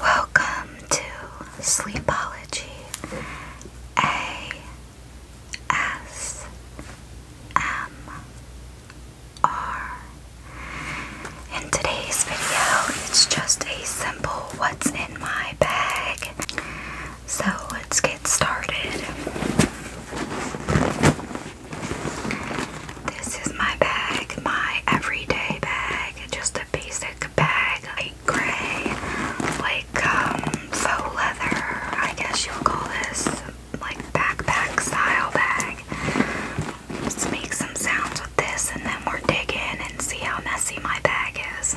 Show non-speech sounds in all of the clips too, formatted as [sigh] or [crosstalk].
Welcome to Sleepology ASMR. In today's video, it's just a simple what's in my bag. So let's get started. This is my bag, my everyday bag just a basic bag, like gray, like um, faux leather, I guess you would call this, like backpack style bag. Let's make some sounds with this and then we're digging and see how messy my bag is.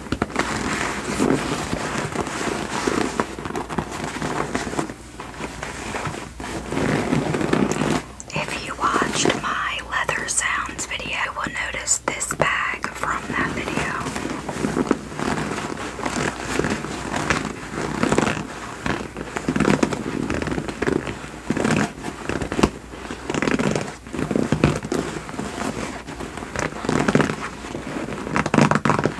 If you watched my leather sounds video, you will notice this bag from that video.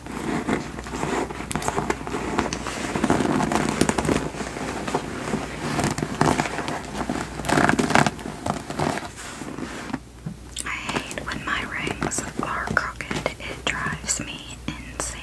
I hate when my rings are crooked, it drives me insane.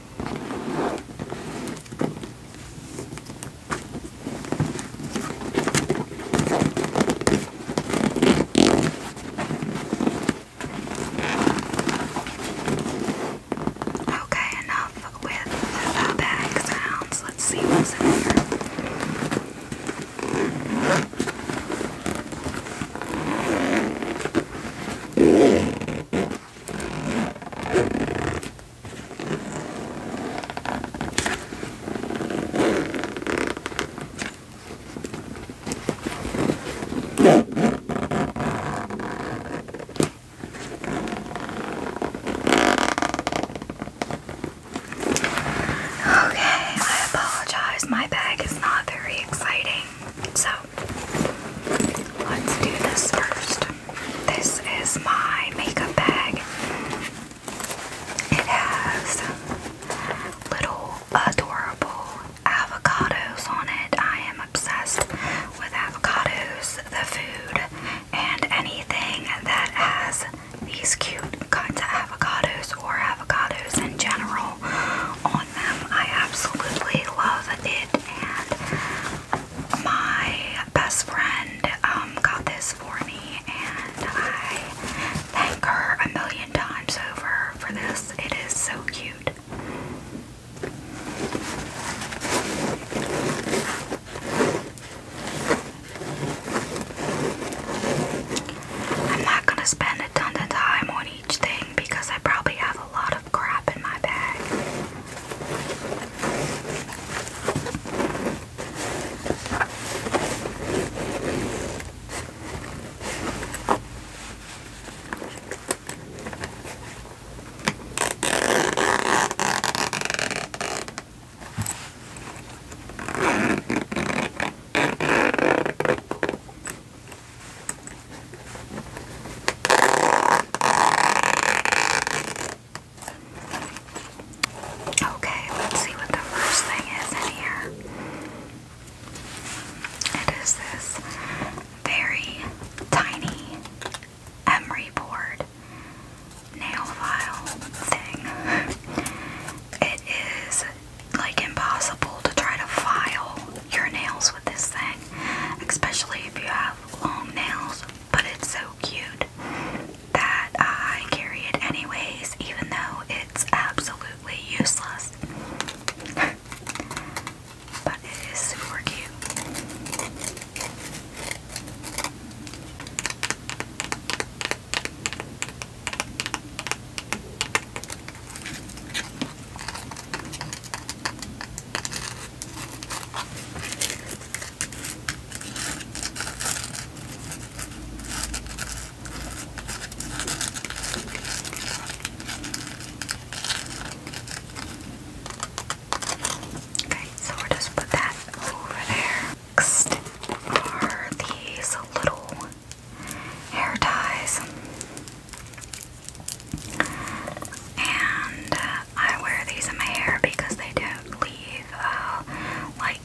Okay, enough with the bag sounds. Let's see what's in here. Okay, I apologize. My bag is not very exciting. So let's do this first. This is my makeup bag. It has little adorable avocados on it. I am obsessed with avocados, the food, and anything that has these cute kinds of avocados or avocados in general on them. I absolutely love it, and my best friend um, got this for me, and I thank her a million times over for this. It is so cute. I'm not going to spend a ton of time on each thing because I probably have a lot of of crap in my bag. Okay, let's see what the first thing is in here. It is this very tiny emery board nail file thing. It is like impossible to try to file your nails with this thing especially if you have long nails. But it's so cute that I carry it anyways, even though it's absolutely useless. [laughs] but it is super cute. Okay, so we'll just put that over there. Next are these little hair ties. And uh, I wear these in my hair because they don't leave a uh, like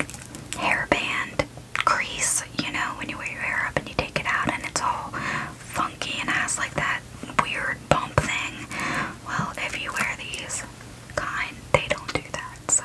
hairband crease, you know, when you wear your hair up and you take it out and it's all funky and has like that weird bump thing. Well, if you wear these kind, they don't do that, so.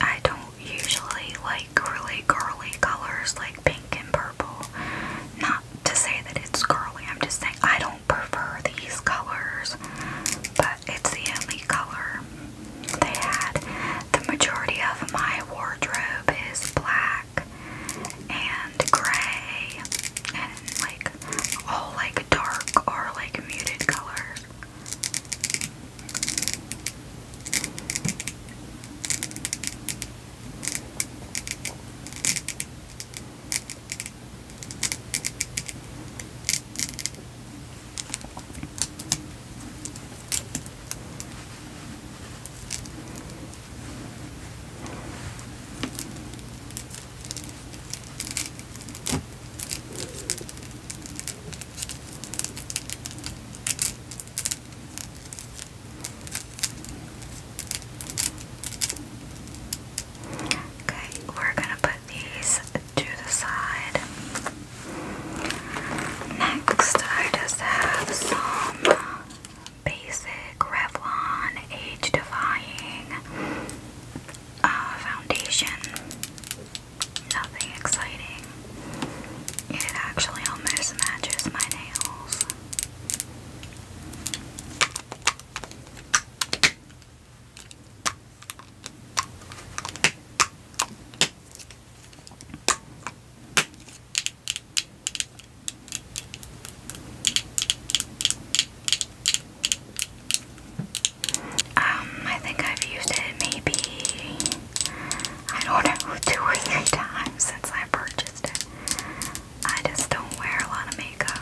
I don't usually like really girly colors like pink and purple. Not to say that it's girly, I'm just saying I don't prefer these colors, but it's the only color they had. The majority of my wardrobe is black black and gray and like all like dark or like muted colors. Okay, we're going to put these to the side. Next, I just have some basic Revlon Age Defying uh, foundation. Nothing exciting. It actually almost matches my nails. Um, I think I've used it maybe, I don't know, [laughs] two or three times since I purchased it. I just don't wear a lot of makeup.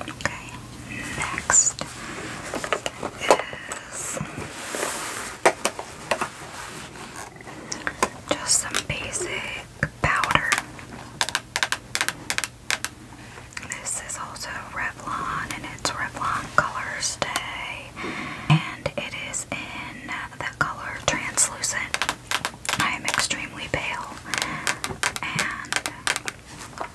Okay, next is just some basic powder. This is also Revlon and it's Revlon Color Stay and it is in the color Translucent. I am extremely pale and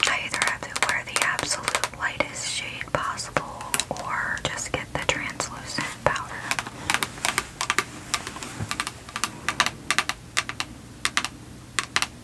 I either have to wear the absolute lightest shade possible or just get the translucent powder.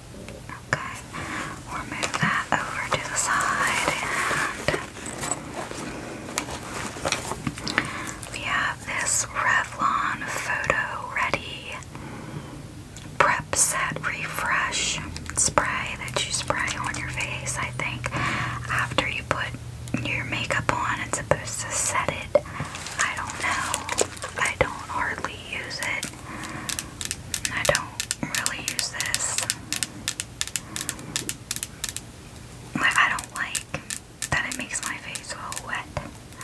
Okay, we'll move that over to the side we have this Revlon Photo Ready Prep Set Refresh spray that you spray on your face, I think, after you put your makeup on. It's supposed to set it. I don't know. I don't hardly use it. I don't really use this. Like, I don't like that it makes my face so wet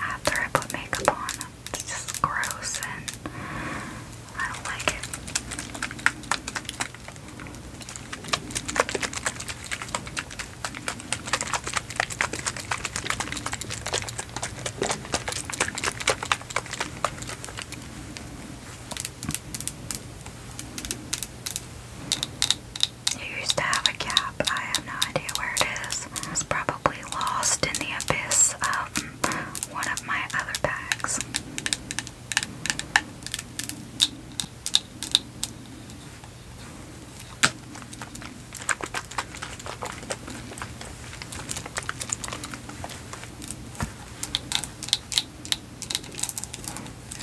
after I put makeup on. It's just gross and I don't like it. You used to have a cap. I have no idea where it is. It's probably lost in the abyss of one of my other bags.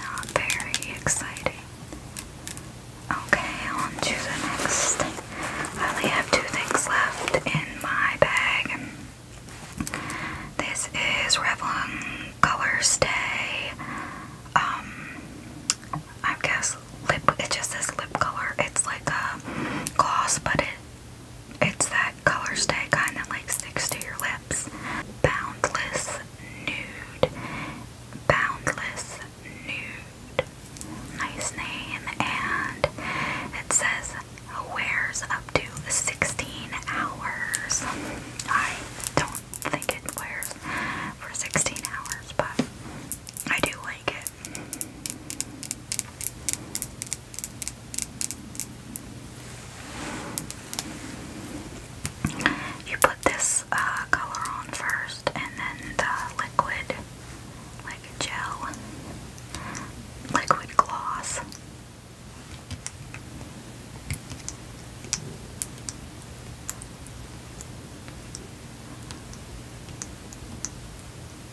Oh, very exciting. Okay, on to the next I only have two things left in my bag. This is Revlon Color Stay. Um, I guess lip. It just says lip color. It's like a gloss, but it it's that color stay kind that like sticks to your lips. Boundless Nude. Boundless Nude. Nice name. And it says wears up to 16 hours. I don't think it wears for 16 hours, but I do like it. You put this uh, color on first and then the liquid, like gel, liquid gloss.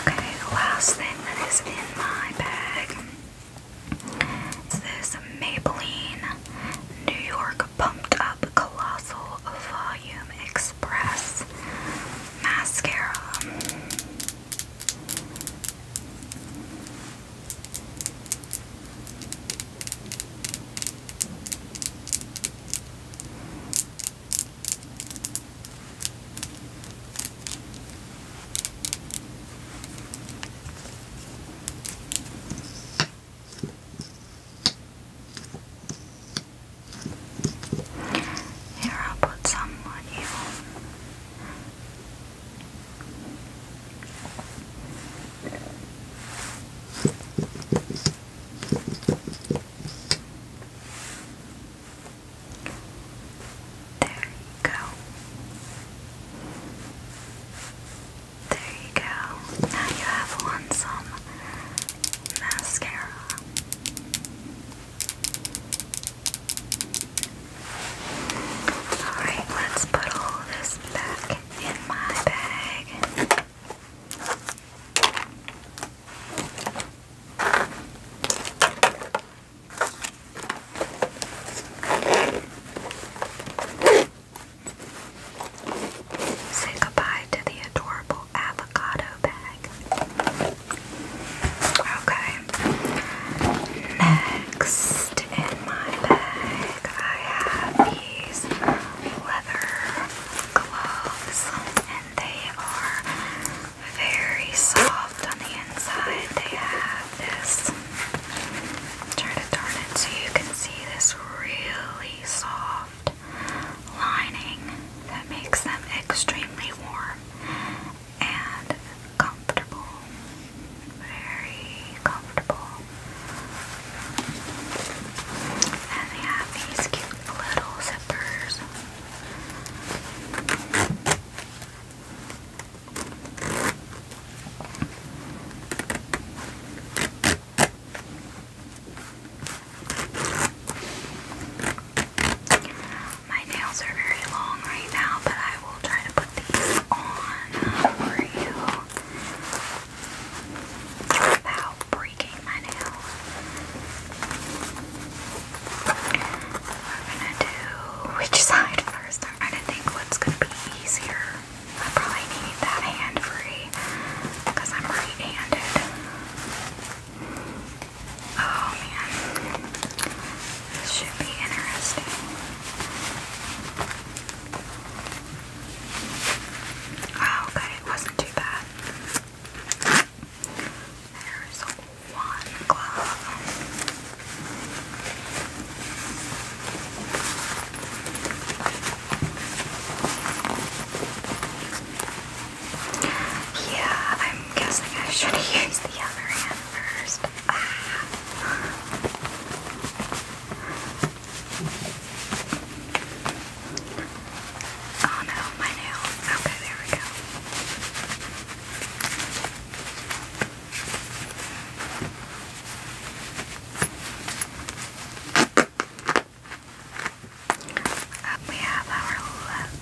Okay, the last thing that is in my bag is this Maybelline New York Pumped Up Colossal Volume Express Mascara. Here i put some on you. There you go. There you go. Now you have won some mascara. Alright, let's put all this back in my bag. Say goodbye to the adorable avocado bag. Okay, Next in my bag, I have these leather gloves, and they are very soft on the inside. They have this. Try to turn it so you can see this really soft lining that makes them extremely warm and comfortable. Very comfortable. And they have these cute little zippers. My nails are very long right now, but I will try to put these on for you without breaking my nails. We're gonna do which side first? I'm trying to think what's gonna be easier. I probably need that hand free because I'm right handed. Oh man. This should be interesting. Oh, okay, it wasn't too bad. There's one glove. Yeah, I'm guessing I should have [laughs] the other hand first. Oh no, my nails. Okay, there we go. Uh, we have our leather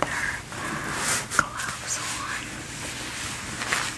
gloves on.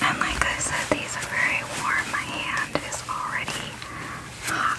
And like I said, these are very warm. My hand is already hot.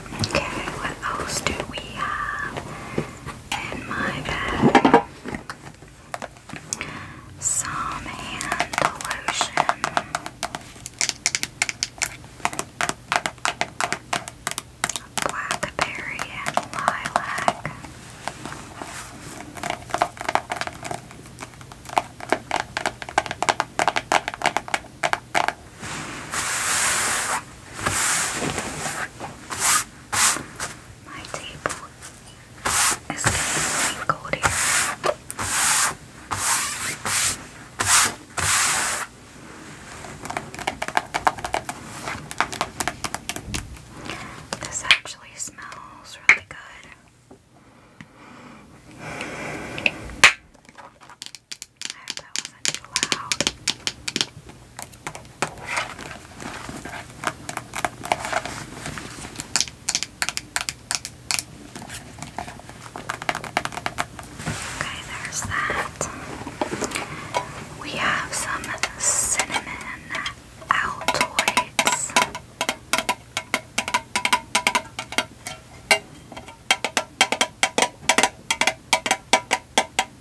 Okay, what else do we have in my bag? Some hand lotion. Blackberry and lilac. My table is getting cold This actually smells really good. Okay, there's that. We have some cinnamon altoids.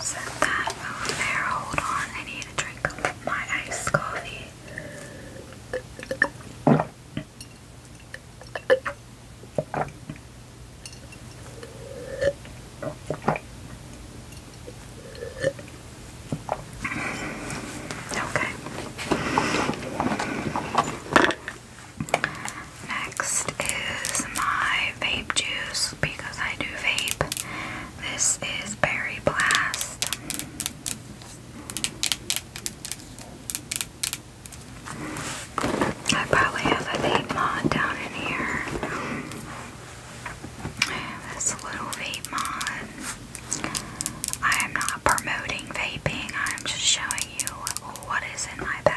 Set that over there. Hold on, I need to drink my iced coffee. Okay. Next is my vape juice because I do vape. This is Berry Blast. I probably have a vape mod down in here. I have this little vape mod. I am not promoting vaping, I'm just showing you what is in my bag.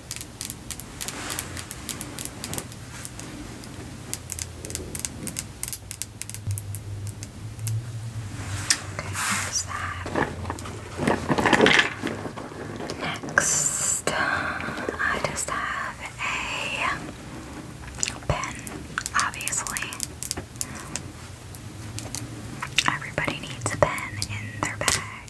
Okay, there's that. Next, I just have a pen, obviously. Everybody needs a pen in their bag.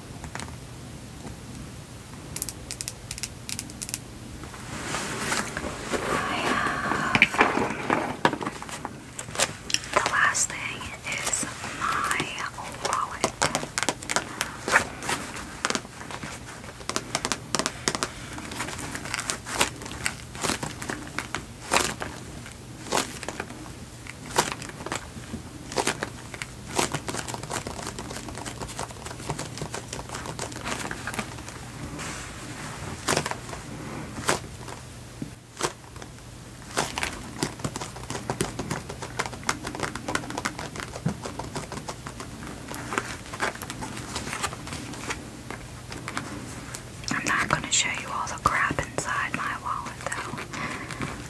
I have the last thing is my wallet. I'm not going to show you all the crap inside my wallet though.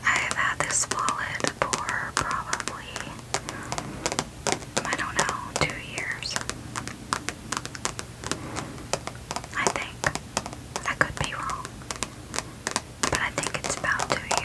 I have had this wallet bit probably. I don't know, two years. I think. I could be wrong. But I think it's about two years.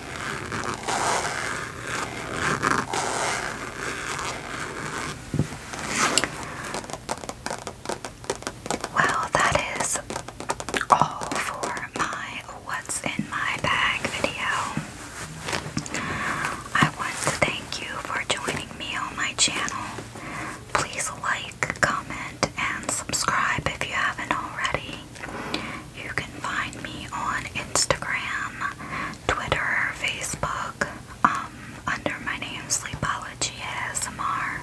Well, that is all for my What's in My Bag video. I want to thank you for joining me on my channel. Please like, comment, and subscribe if you haven't already. You can find me on Instagram, Twitter, Facebook, um, under my name Sleepology ASMR.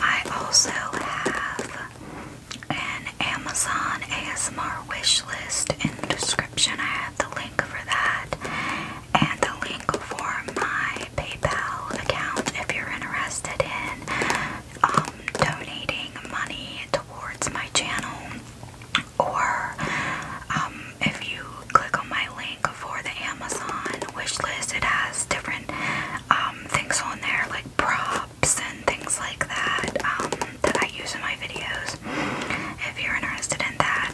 I also have an Amazon ASMR wish list in the description. I have the link for that and the link for my PayPal account if you're interested in um, donating money towards my channel, or um, if you click on my link for the Amazon wish list, it has different um, things on there like props and things like that um, that I use in my videos. If you're interested in that,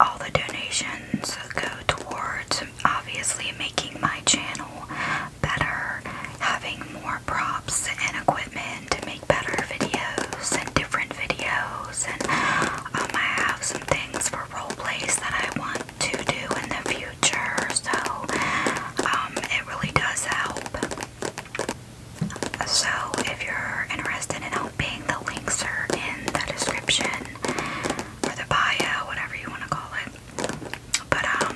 all the donations go towards obviously making my channel better, having more props and equipment to make better videos and different videos. And um, I have some things for role plays that I want to do in the future, so um, it really does help. So, if you're interested in helping, the links are in the description or the bio, whatever you want to call it. But um,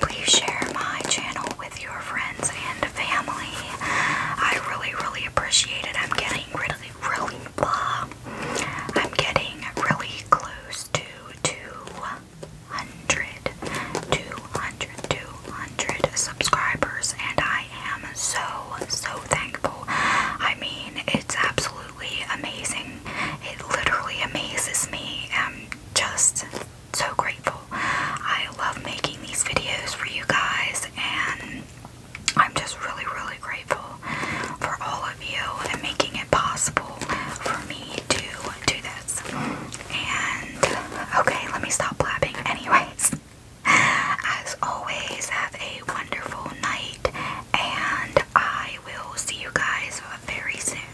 please share my channel with your friends and family. I really, really appreciate it. I'm getting really, really, blah. Uh, I'm getting really close to 200, 200, 200 subscribers, and I am so, so thankful. I mean, it's absolutely amazing. It literally amazes me. Um, just so grateful. I love making these videos for you guys, and I'm just really, really grateful for all of you and making it possible for me to do this. And okay, let me stop blabbing, anyways. As always, have a wonderful night, and I will see you guys very soon.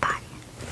Bye.